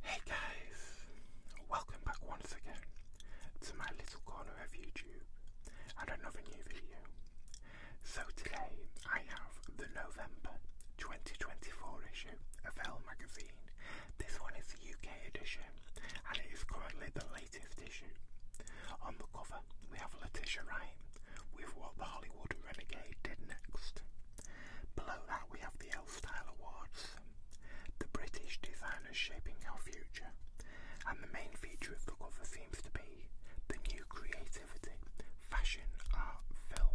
Hey guys, welcome back once again to my little corner of YouTube and another new video. So today I have the November 2024 issue of Elle magazine. This one is the UK edition and it is currently the latest creative tissue. On the cover, we have Letitia Wright with what the Hollywood Renegade did next. Below that, we have the L Style Awards, the British designers shaping our future, and the main feature of the cover seems to be the new creativity, fashion, art, film.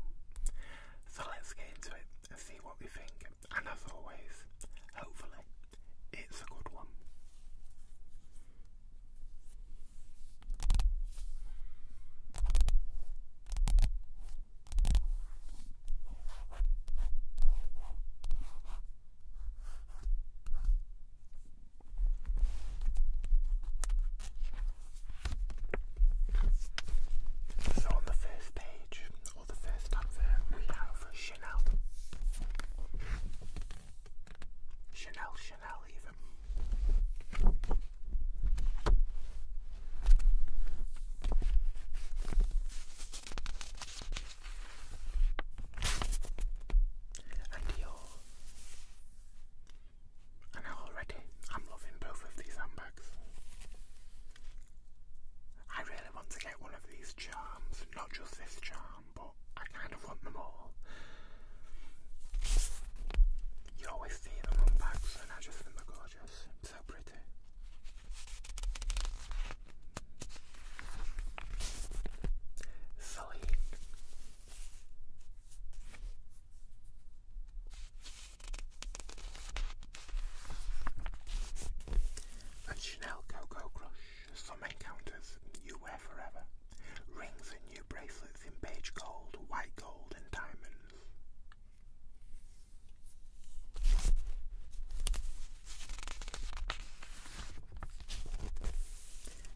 So let's get into it and see what we think, and as always, hopefully it's a good one. So on the first page, or the first advert, we have Chanel. Chanel, Chanel, even. And Dior. And already I'm loving both of these handbags. I really want to get one of these charms, not just this charm but I kind of want them all. You always see them on bags, and I just think they're gorgeous. So pretty. Celine. Chanel Cocoa Crush. Some encounters, you wear forever. Rings and new bracelets in beige gold, white gold, and diamonds.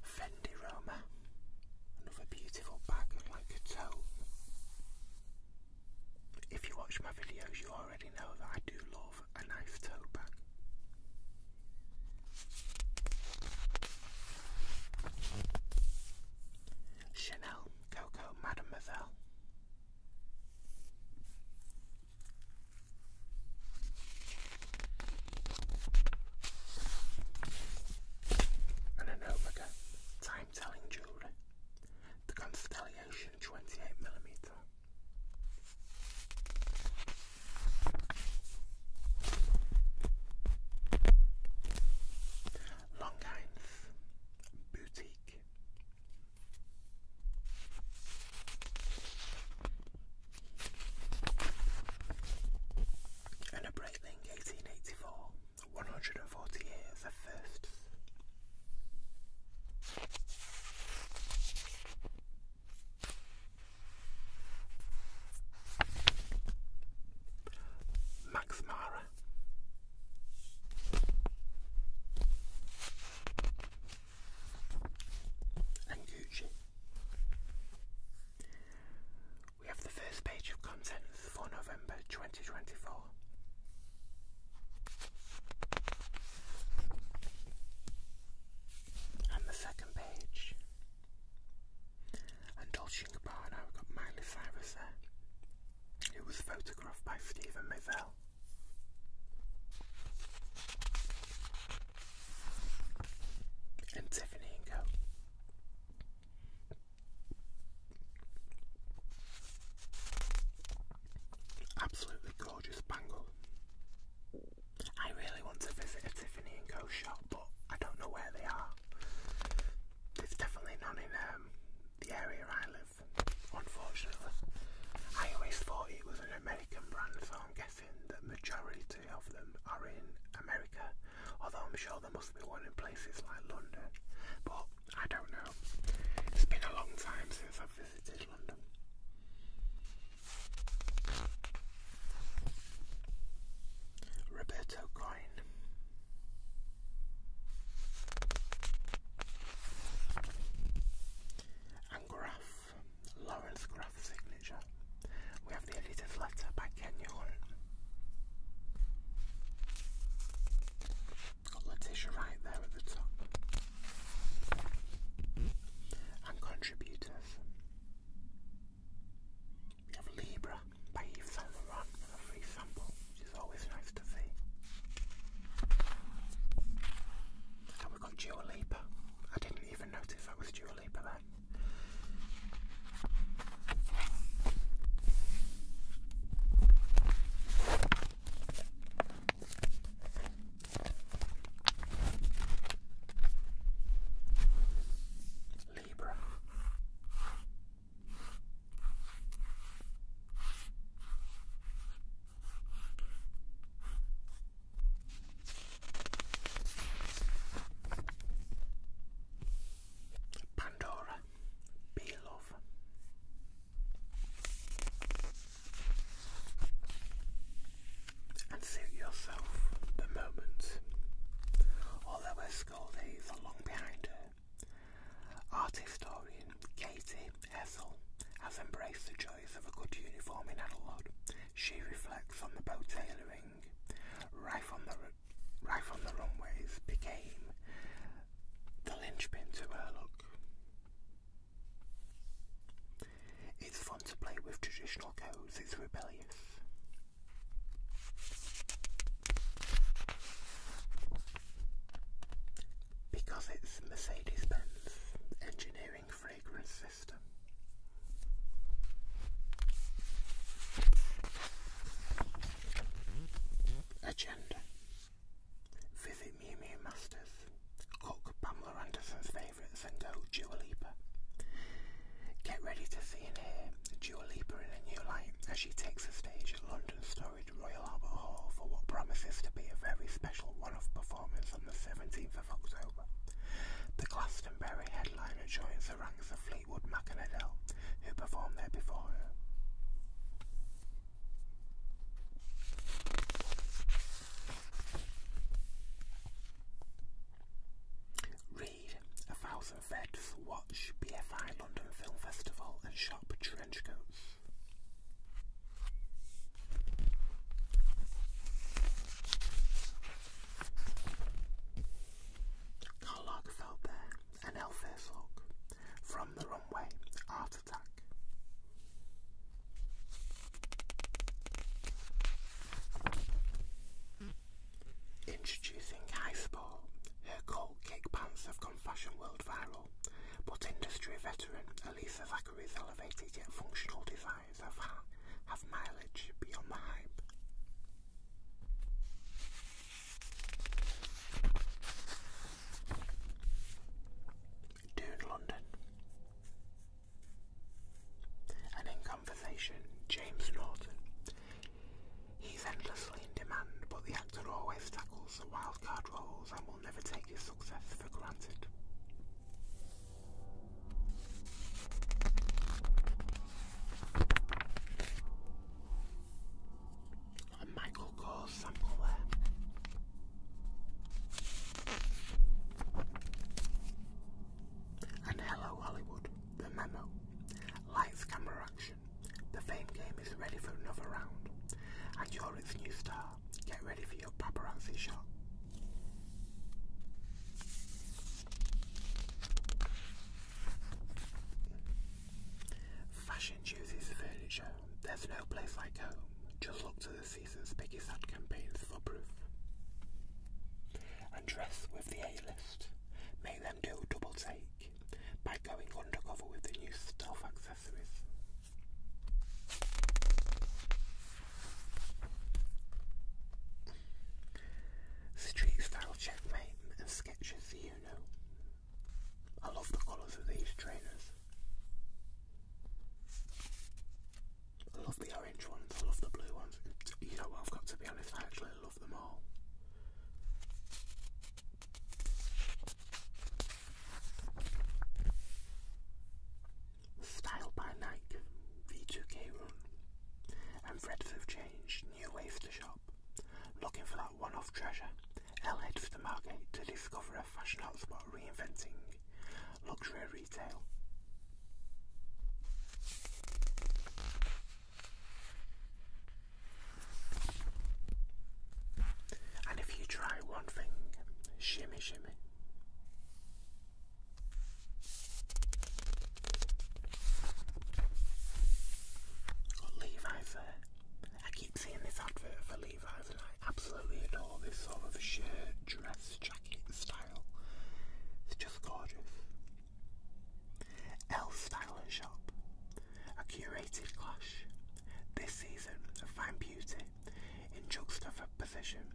Fendi Roma, another beautiful bag like a tote. If you watch my videos, you already know that I do love a knife toe bag. Chanel Coco Mademoiselle. And an Omega time telling jewellery. The Constellation 28mm. Longheinz Boutique. And a Breitling 1884, 140 years of firsts. Max And Gucci. We have the first page of contents for November 2024 and the second page. And Dolce & Gabbana, we've got Miley Cyrus there. It was photographed by Stephen Mizell. And Tiffany and Co. Absolutely gorgeous bangle. I really want to visit a Tiffany & Co shop, but I don't know where they are. There's definitely none in um, the area I live, unfortunately. I always thought it was an American brand, so I'm guessing the majority of them are in America, although I'm sure there must be one in places like London, but I don't know. It's been a long time since I've visited London. Roberto Coin. And Graph, Lawrence Graph signature. We have the editor's letter by Kenya Hunt. Got Letitia right there at the top and contributors. We have Libra by Yves Saint Laurent with which is always nice to see. And we've got Dua Lipa. I didn't even notice that was Dua Lipa then. Libra. Pandora, be love and suit yourself the moment. Although her school days are behind her, art historian Katie Ethel has embraced the joys of a good uniform in adulthood. She reflects on the bow tailoring, right from the, right from the runways became the linchpin to her look. It's fun to play with traditional codes, it's rebellious. Because it's Mercedes Benz engineering fragrance system. Agenda Visit Mew Mew Masters. Cook Pamela Anderson's favourites and go Dua Lipa. Get ready to see and hear Dua Lipa in a new light as she takes the stage at London's storied Royal Albert Hall for what promises to be a very special one-off performance on the 17th of October. The Glastonbury headliner joins the ranks of Fleetwood Mac and Adele, who performed there before her. Read A Thousand Vets, watch BFI London Film Festival and shop trenchcoats. Carl Lagerfeld there, an Elvis look. From the runway, art Introducing High Sport. Her cold kick pants have gone fashion world viral, but industry veteran Elisa Zachary's elevated yet functional designs have, have mileage beyond the hype. Dude London. And in conversation, James Norton. He's endlessly in demand, but the actor always tackles the card roles and will never take his success for granted. Michael calls something And hello Hollywood, the memo. Lights, camera, action. The fame game is ready for another round. And you're its new star. Get ready for your paparazzi shot. Fashion chooses furniture. There's no place like home. Just look to the season's biggest ad campaigns for proof. And dress with the A-list. Make them do a double take by going undercover with the new stealth accessories. Street style checkmate and sketches, you know. I love the colours of these trainers. I love the orange ones, I love the blue ones. You know I've got to be honest, I actually love them all. Style by Nike V2K Run. And Fred's have changed, new ways to shop. Looking for one-off treasure, Elle heads for the market to discover a fashion hotspot reinventing luxury retail. And if you try one thing, shimmy shimmy. Levi's I keep seeing this advert for I absolutely adore this sort of shirt, dress, jacket style. It's just gorgeous. L Styler Shop, a curated clash. This season of fine beauty in juxtaposition.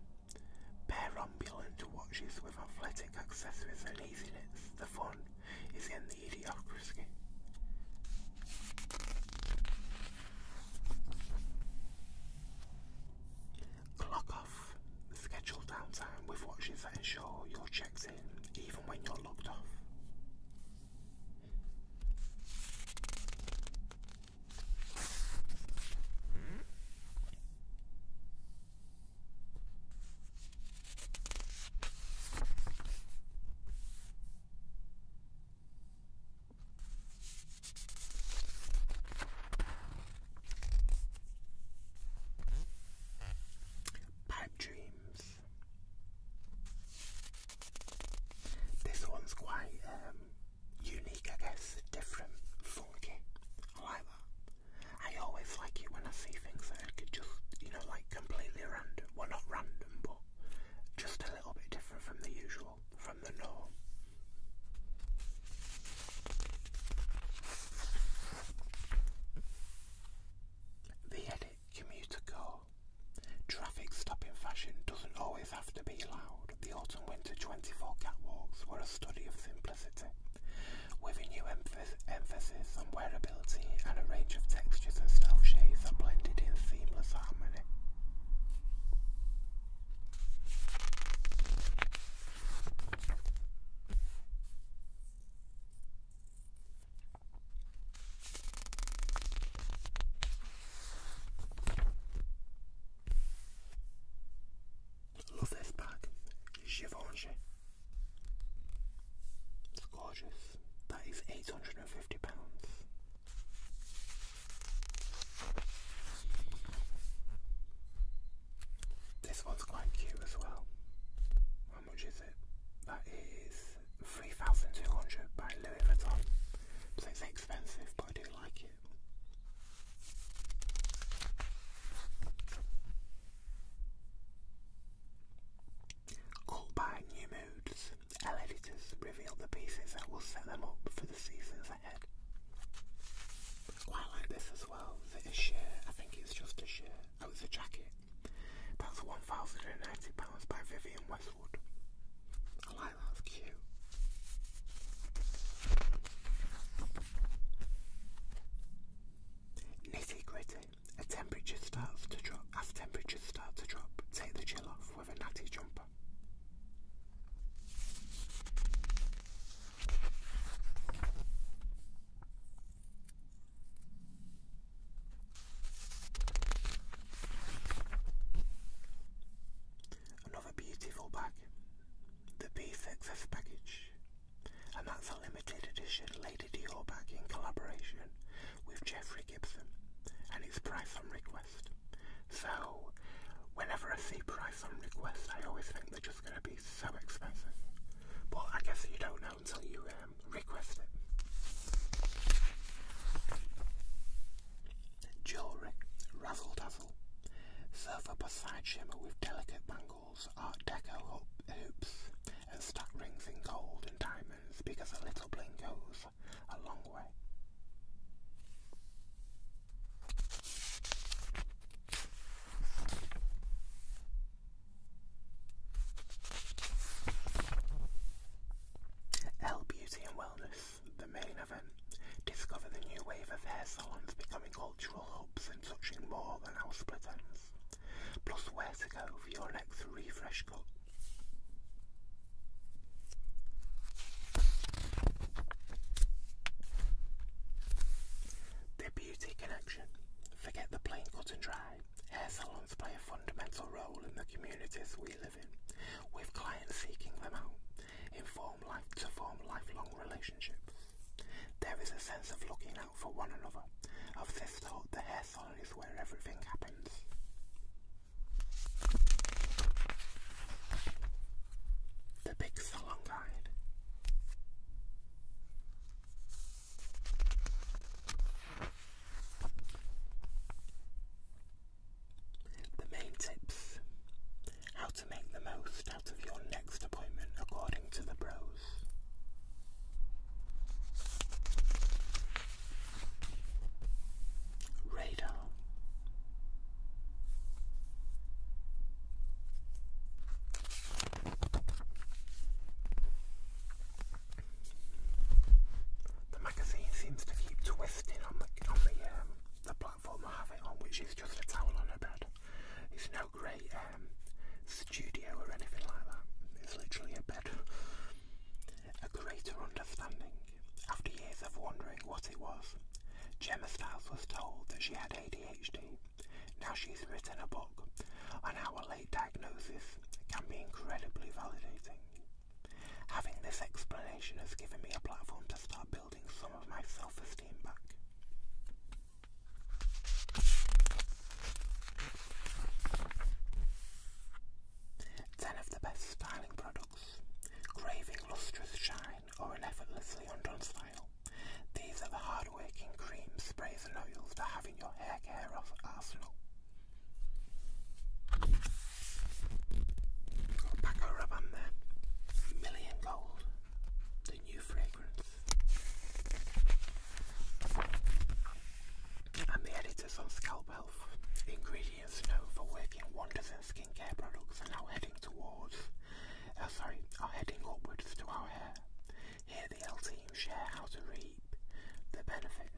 Pair ambulant watches with athletic accessories and easiness. The fun is in the idiocracy. Clock off the scheduled downtime with watches that ensure your checks in even when you're locked off. Pipe Dreams. This one's quite um, unique, I guess, different, funky. I like that. I always like it when I see things that are just, you know, like completely random. Well, not random, but just a little bit different from the usual, from the norm. The Edit Commuter Core. Traffic stopping fashion doesn't always have to be loud. The Autumn Winter 24 catwalks were a study of simplicity, with a new emphasis on wearability and a range of textures and styles, shapes are blended in seamless harmony. Love this bag, Givenchy. It's gorgeous. That is £850. This one's quite cute as well. How much is it? That is 3200 by Louis Vuitton. So it's expensive, but I do like it. Caught by New Moods editors revealed the pieces that will set them up for the seasons ahead. Quite like this as well. Is it I think it's just a shirt. Oh, it's a jacket. That's £1,090 by Vivian Westwood. I like that, cute. Nitty gritty. A temperature start to drop as temperatures start to drop, take the chill off with a natty jumper. Another beautiful bag, the Beef Excess Package, and that's a limited edition Lady Dior bag in collaboration with Jeffrey Gibson and his price on request. So whenever I see price on request, I always think they're just going to be so expensive. But I guess you don't know until you um, request it. Jewellery, razzle dazzle, Silver side shimmer with delicate bangles, art deco hoop hoops, and stuck rings in gold and diamonds because a little bling goes a long way. Elle Beauty and Wellness, the main event, discover the new wave of hair salons becoming cultural hubs and touching more than house pretends plus where to go for your next refresh cup. The beauty connection. Forget the plain cut and dry. Hair salons play a fundamental role in the communities we live in, with clients seeking them out inform life to form lifelong relationships. There is a sense of looking out for one another, of this thought the hair follows where everything happens. The Big Salon Guide. The main tips. How to make the most out of your next appointment according to the pros. Radar. The magazine seems to keep twisting on the on the um, the platform I have it on, which is just a towel on a bed. It's no great um, studio or anything like that. It's literally a bed. A greater understanding. After years of wondering what it was, Gemma Stiles was told that she had ADHD. Now she's written a book on how a late diagnosis can be incredibly validating. Having this explanation has given me a platform to start building some of my self-esteem back. Ten of the best styling products. Craving lustrous shine or an effortlessly undone style. These are the hard-working creams, sprays and oils to have in your hair care arsenal. Got Paco Rabanne there. Million Gold. The new fragrance. And the editors on Scalp Health, ingredients known for working wonders in skincare products are now heading towards, uh, sorry, are heading upwards to our hair. Here the L team share how to reap the benefits.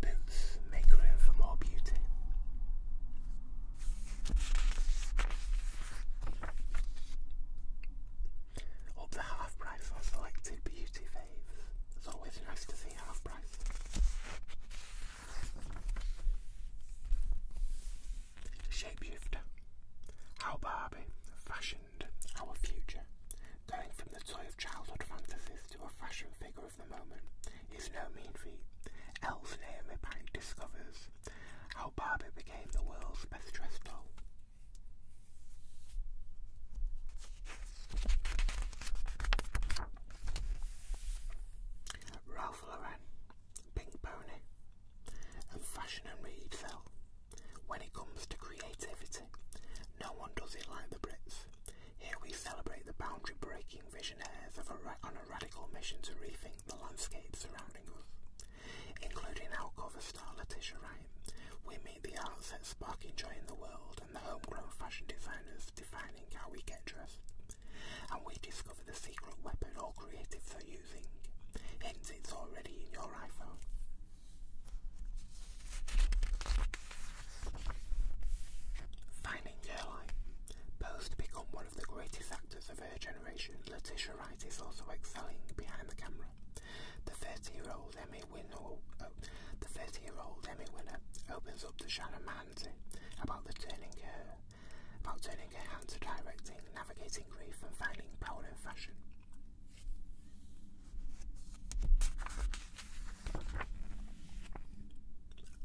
Boots make room for more beauty. Up the half price on selected beauty faves. It's always nice to see half price. Shapeshifter. How Barbie, fashion our future, going from the toy of childhood fantasies to a fashion figure of the moment, is no mean feat. Else Naomi apparently discovers how Barbie became the world's best dressed doll. Ralph Lauren, Pink Pony, and Fashion and Reed sell when it comes to creativity, no one does it like the Brits. Here we celebrate the boundary breaking visionaries of a on a radical mission to rethink the landscape surrounding us. Including our cover star Letitia Wright, we meet the arts sparking joy in the world and the homegrown fashion designers defining how we get dressed. And we discover the secret weapon all creatives are using. Hint it's already in your iPhone. Finding Caroline. Posed become one of the greatest actors of her generation, Letitia Wright is also excelling behind the camera. The 30-year-old Emmy winner, opens up to Shannon Mahanty about the turning her, about turning her hand to directing, navigating grief, and finding power in fashion.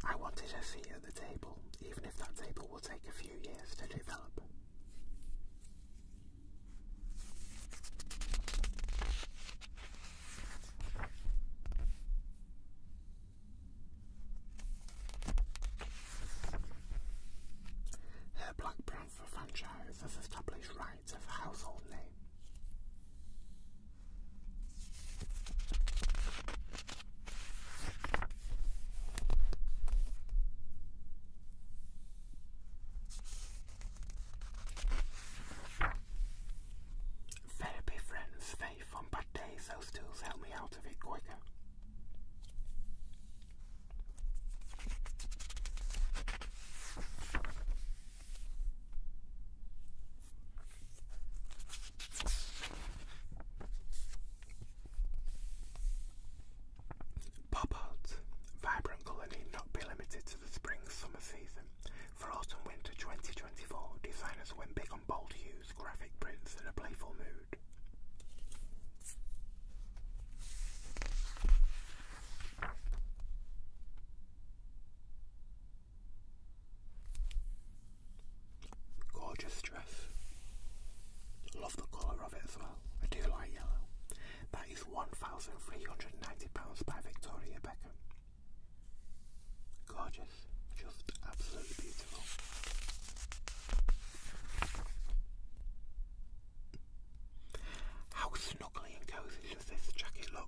I wanted a seat at the table, even if that table will take a few years to develop. Her black brown for franchise has established rights of household name. Therapy friends, Faith and Bad Days, those tools help me out of it quicker. Pop Arts, vibrant colour need not be limited to the spring summer season. For autumn winter 2024, designers went big on bold hues, graphic prints, and a playful mood. Gorgeous dress. Love the colour of it as well. I do like yellow. That is £1,390 by Victoria Beckham. Gorgeous. Just absolutely beautiful. How snuggly and cosy does this jacket look?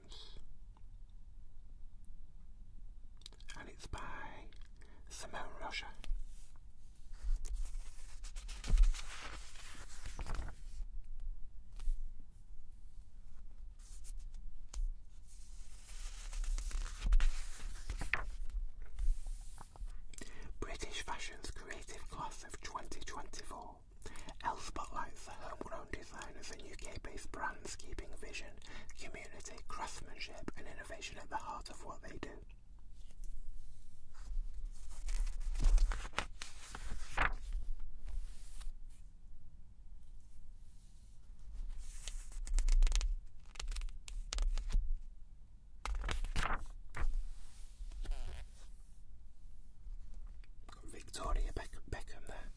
and it's by Simone Rocha. British Fashion's Creative Class of 2024. Elle spotlights the home-grown designers and UK-based brands keeping vision, community, craftsmanship and innovation at the heart of what they do. Victoria Beckham there.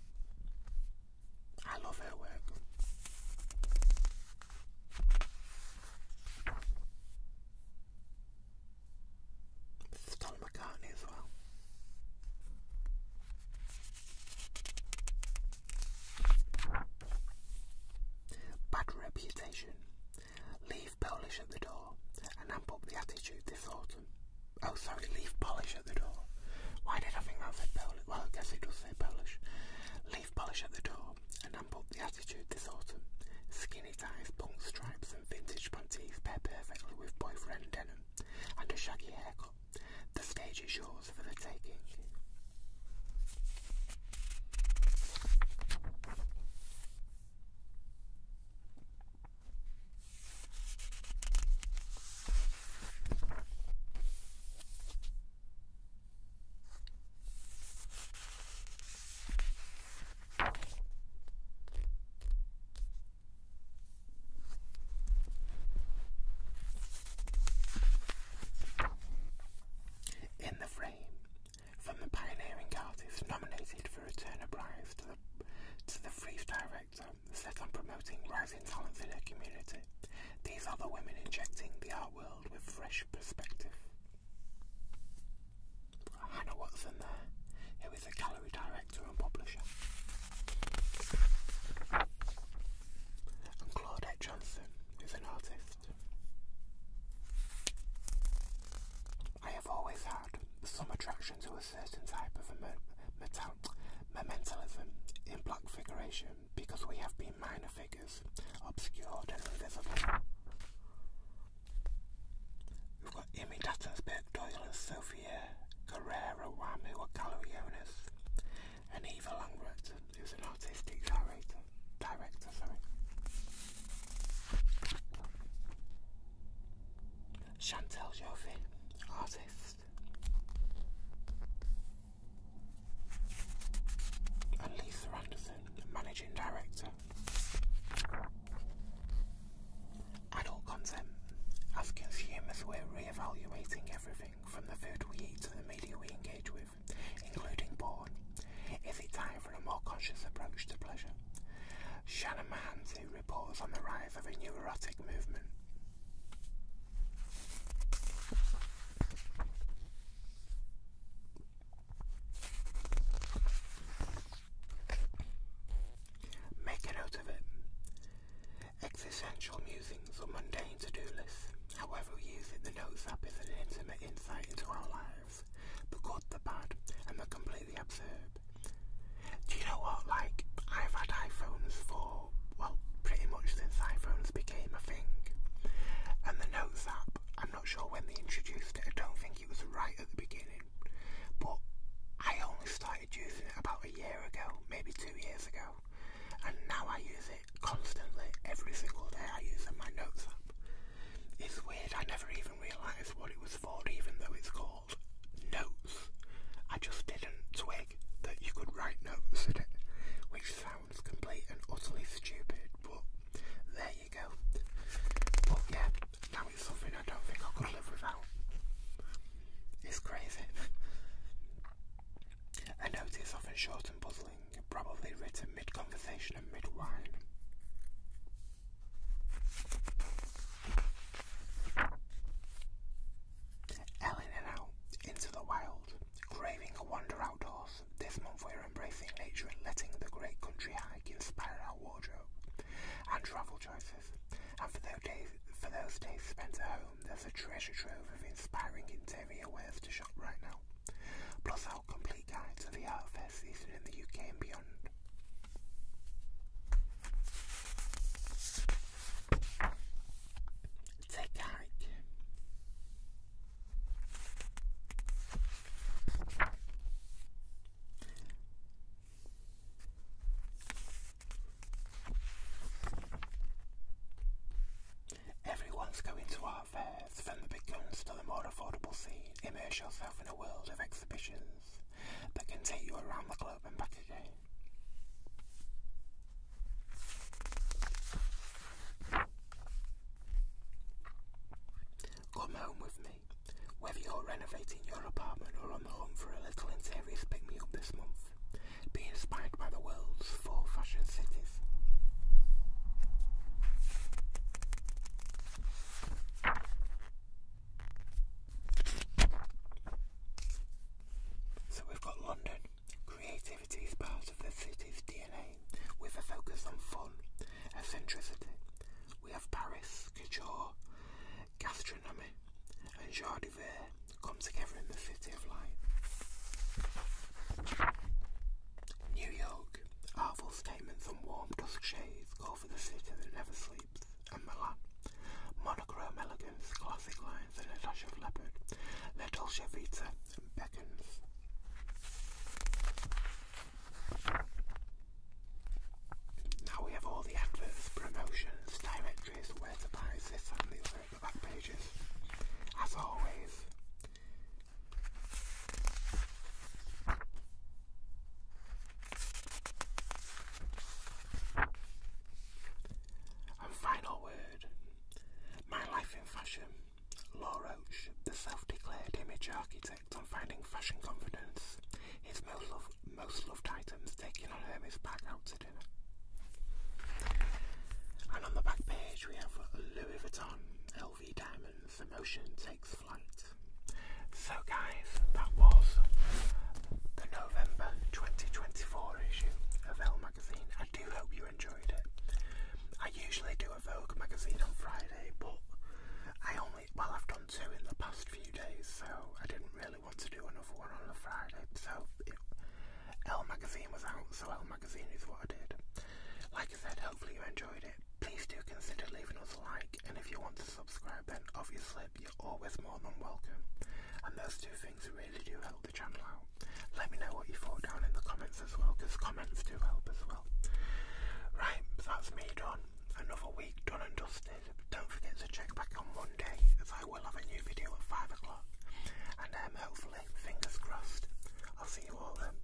I love her work. Tom McCartney as well. Bad reputation. Leave Polish at the door and amp up the attitude this autumn. Oh, sorry, leaf polish at the door. Why did I think that said polish? Well, I guess it does say polish. Leaf polish at the door, and amp the attitude this autumn. Skinny ties, punk stripes, and vintage panties pair perfectly with boyfriend denim and a shaggy haircut. The stage is yours for the taking. In the frame, from the pioneering artist nominated for a Turner Prize to the to the freestyle set on promoting rising talents in her community. These are the women injecting the art world with fresh perspective. Hannah Watson there, who is a gallery director and publisher. And Claudette Johnson, who's an artist. I have always had some attraction to a certain type of metal, momentalism in block figuration because we have been minor figures, obscured and invisible. We've got Imi Dattensberg, Doyle and Sophia Guerrera Wamu are gallery owners. And Eva Langret, who's an artistic director, director, sorry. Chantel Joffy, artist next. Elise Anderson, Managing Director. Adult consent. As consumers, we're re-evaluating everything from the food we eat to the media we engage with, including porn. Is time for a more conscious approach to pleasure? Shannon Mahans, reports on the rise of a new erotic movement. Make a note of it. Existential musings or mundane to-do lists, however we the Notes app is an intimate insight into our lives, the good, the bad, and the completely absurd. Do you know what? Like, I've had iPhones for, well, pretty much since iPhones became a thing. And the Notes app, I'm not sure when they introduced it, I don't think it was right at the beginning. But I only started using it about a year ago, maybe two years ago. And now I use it constantly, every single day I use it, my Notes app. It's weird, I never even realised what it was for, even though it's called notes. I just didn't twig that you could write notes in it, which sounds complete and utterly stupid, but there you go. But yeah, now it's something I don't think I could live without. It's crazy. A note is often short and puzzling, probably written mid-conversation and mid-wine. Ellen and out into the wild, craving a wander outdoors. This month we're embracing nature and letting the great country hike inspire our wardrobe and travel choices. And for those days, spent at home, there's a treasure trove of inspiring interior wares to shop right now. Plus our complete guide to the art fair season in the UK and beyond. Tekrar ki. Everyone's going to art fairs, from the big guns to the more affordable scene. Immerse yourself in a world of exhibitions buses can take you around the globe and back again. Come home with me. Whether you're renovating your apartment or on the hunt for a little interiors pick me up this month, be inspired by the world's four fashion cities. So we've got London. Creativity is part of the city's DNA with a focus on fun, eccentricity. We have Paris, couture, gastronomy, and joie de vivre come together in the city of light. New York. Artful statements from warm dusk shades call for the city that never sleeps monochrome elegance, classic lines and a dash of leopard, La Dolce Vita and Beckons. Now we have all the adverts, promotions, directories, where and the back pages. As always, and final word My Life in Fashion. Law the self declared image architect on finding fashion confidence, his most, loved items taken on Hermes back out to dinner. And on the back page, we have Louis Vuitton, LV Diamonds, Emotion takes so, guys, that was the November 2024 issue of Elle magazine. I do hope you enjoyed it. I usually do a Vogue magazine on Friday, but I only, well, I've done two in the past few days, so I didn't really want to do another one on a Friday. So, it, Elle magazine was out, so Elle magazine is what I did. Like I said, hopefully you enjoyed it. Please do consider leaving us a like and if you want to subscribe, then obviously you're always more than welcome. And those two things really do help the channel out. Let me know what you thought down in the comments as well, because comments do help as well. Right, that's me done. Another week done and dusted. Don't forget to check back on Monday, as I will have a new video at 5 o'clock. And um, hopefully, fingers crossed, I'll see you all then.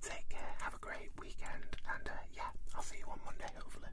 Take care, have a great weekend, and uh, yeah, I'll see you on Monday, hopefully.